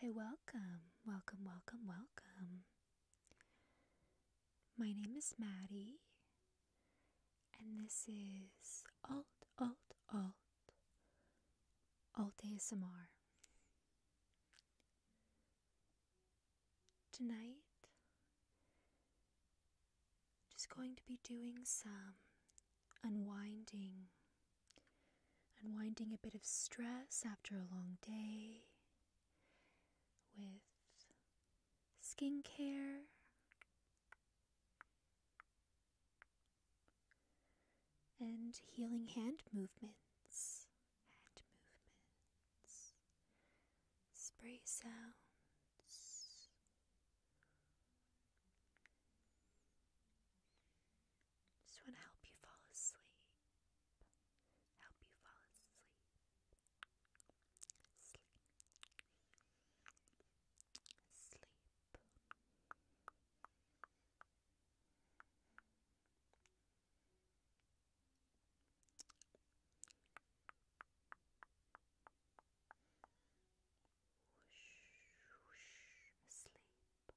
Hi, welcome, welcome, welcome, welcome. My name is Maddie, and this is Alt, Alt, Alt, Alt ASMR. Tonight, just going to be doing some unwinding, unwinding a bit of stress after a long day with skincare. And healing hand movements, hand movements, spray sounds hands. Just want to help you fall asleep. Help you fall asleep. Sleep. Sleep whoosh, whoosh, asleep.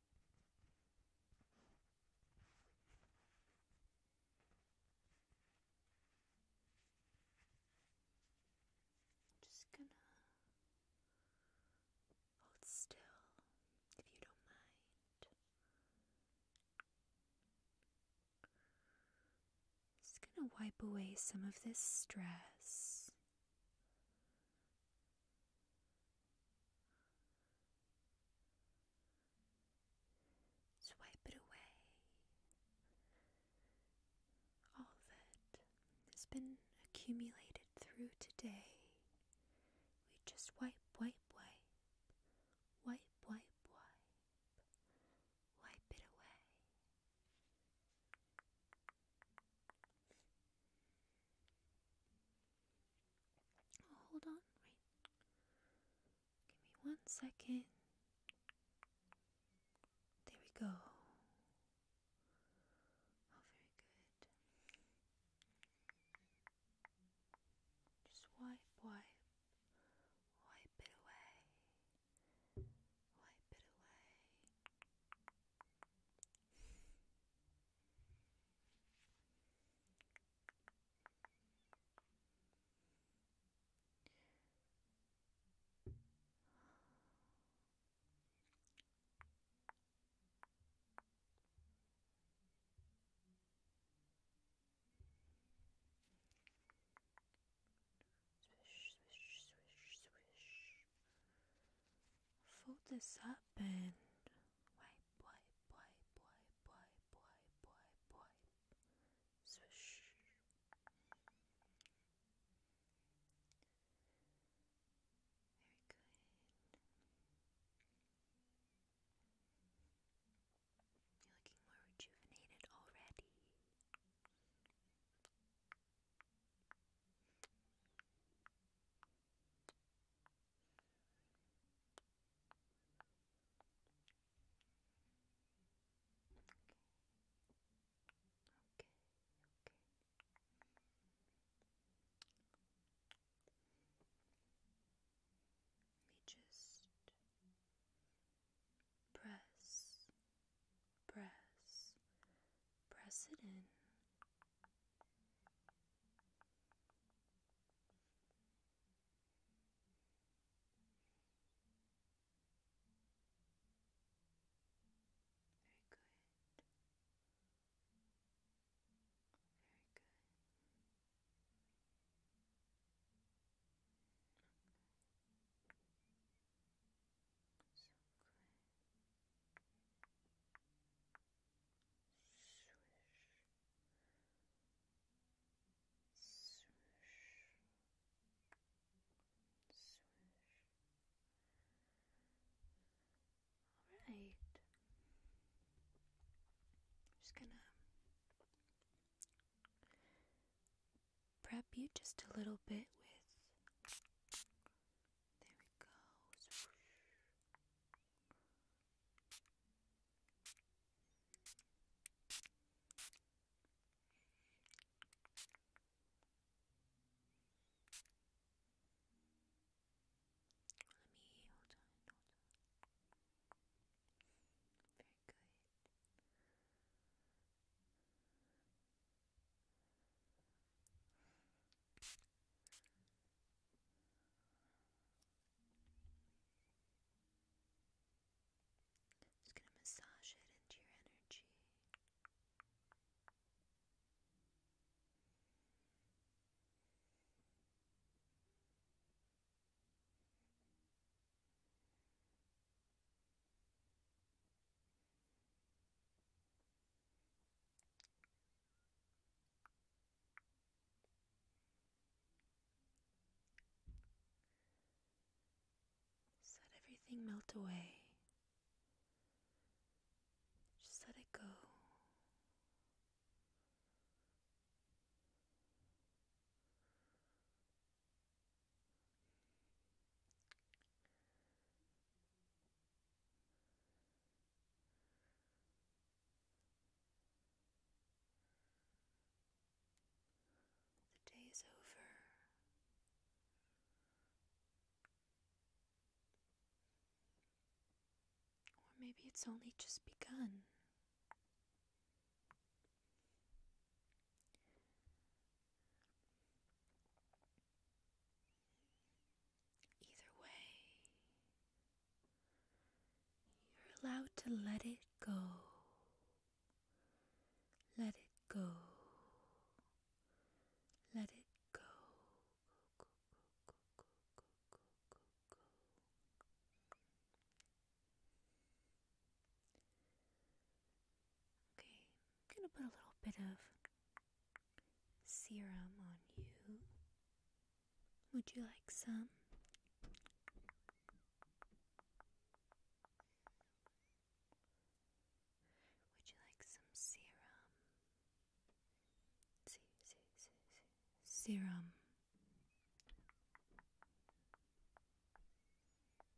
I'm just gonna hold still if you don't mind. Just gonna wipe away some of this stress. Swipe it away. All that has been accumulated through today. We just wipe, wipe, wipe. Wipe, wipe, wipe. Wipe it away. Oh, hold on, wait. Give me one second. There we go. Oh, very good. Just wipe, wipe. Wipe it away. Wipe it away. Swish, swish, swish, swish. Fold this up and wipe, wipe, wipe, wipe, wipe, wipe, wipe, wipe. Swish. Very good. You're looking more rejuvenated already. Okay, okay. Let me just press press, press it in. Very good. Very good. So good. Swish. Swish. Swish. Alright. Just gonna prep you just a little bit with. There we go. Very good. Just going to massage it into your energy let everything melt away. Just let it go. The day is over. Or maybe it's only just begun. Either way, you're allowed to let it go. Let it go. Let it go. Go, go, go, go, go, go, go, go, go. Okay, going to put a little bit of serum on you. Would you like some? Would you like some serum? Serum.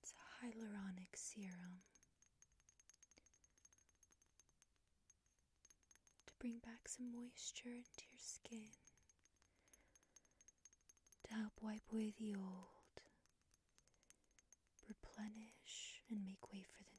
It's a hyaluronic serum to bring back some moisture into your skin, to help wipe away the old, replenish, and make way for the new.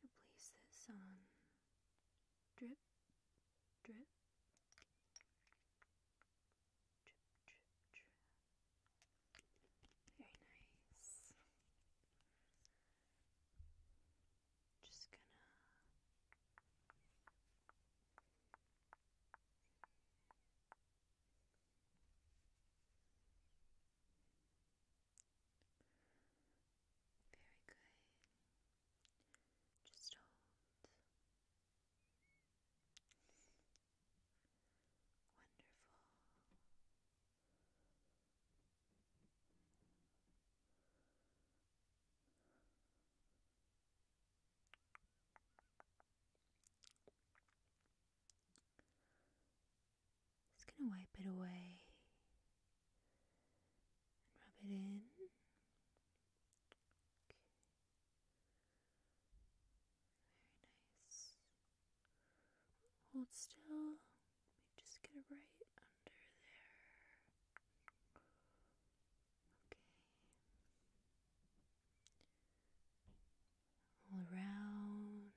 gonna place this on drip, drip, drip, drip, drip. Very nice. Just gonna. Very good. Just hold. Wonderful. Just gonna wipe it away rub it in. Okay. Very nice. Hold still. just get it right under there. Okay. All around.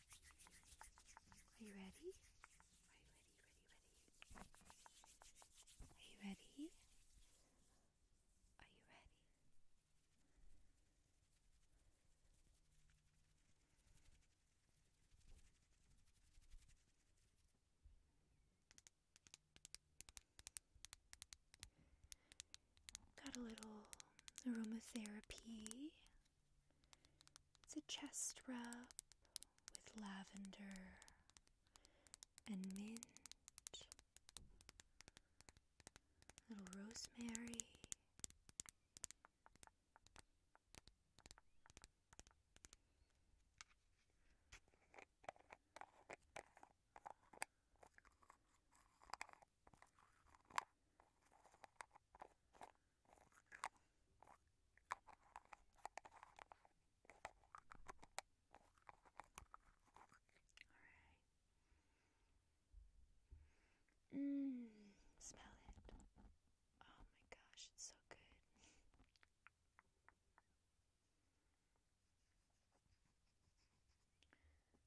Are you ready? Are you ready, Are you ready? Are you ready? Got a little aromatherapy it's a chest rub with lavender and mint, little rosemary. Alright. Mmm, smell it. Oh my gosh, it's so good.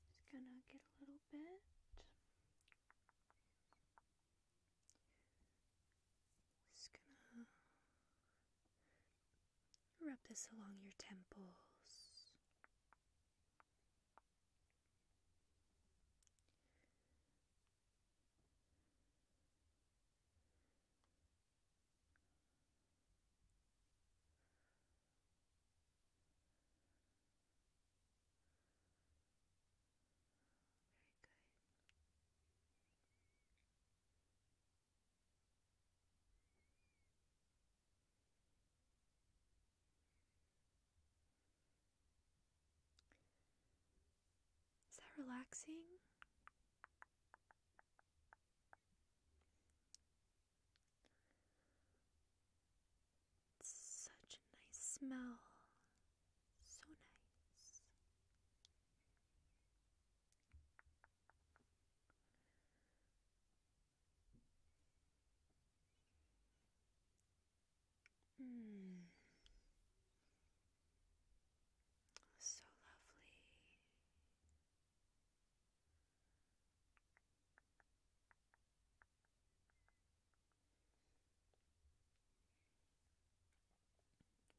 Just gonna get a little bit just gonna rub this along your temples. Is that relaxing? Such a nice smell. So nice. Mm. So lovely.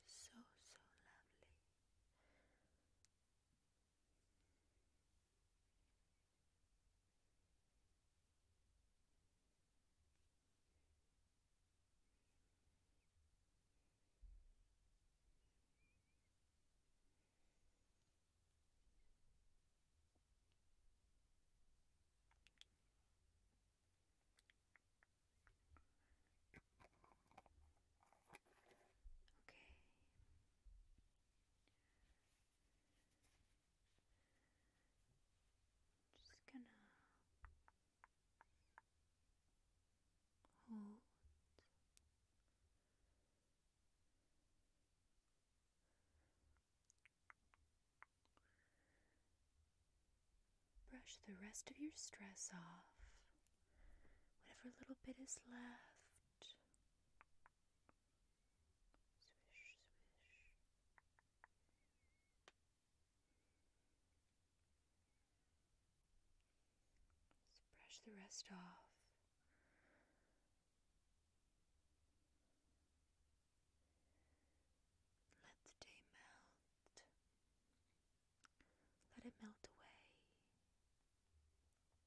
So, so lovely. Okay. Just gonna hold Brush the rest of your stress off, whatever little bit is left. Swish, swish. Just brush the rest off. Let the day melt. Let it melt away. Let the day melt away.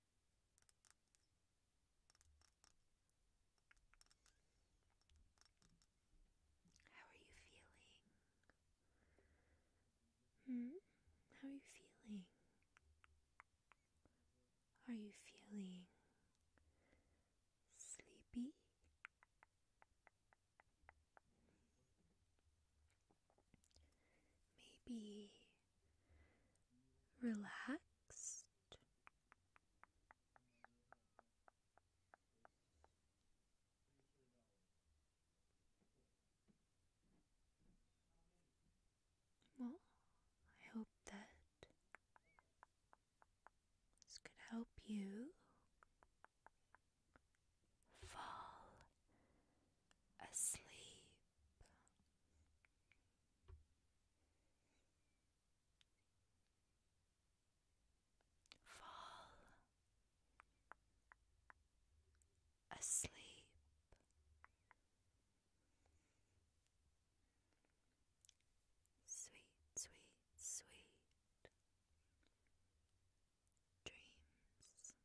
How are you feeling? Hmm? How are you feeling? Are you feeling sleepy? Maybe relaxed. Well, I hope that this could help you fall asleep. Fall asleep. Sweet, sweet, sweet dreams.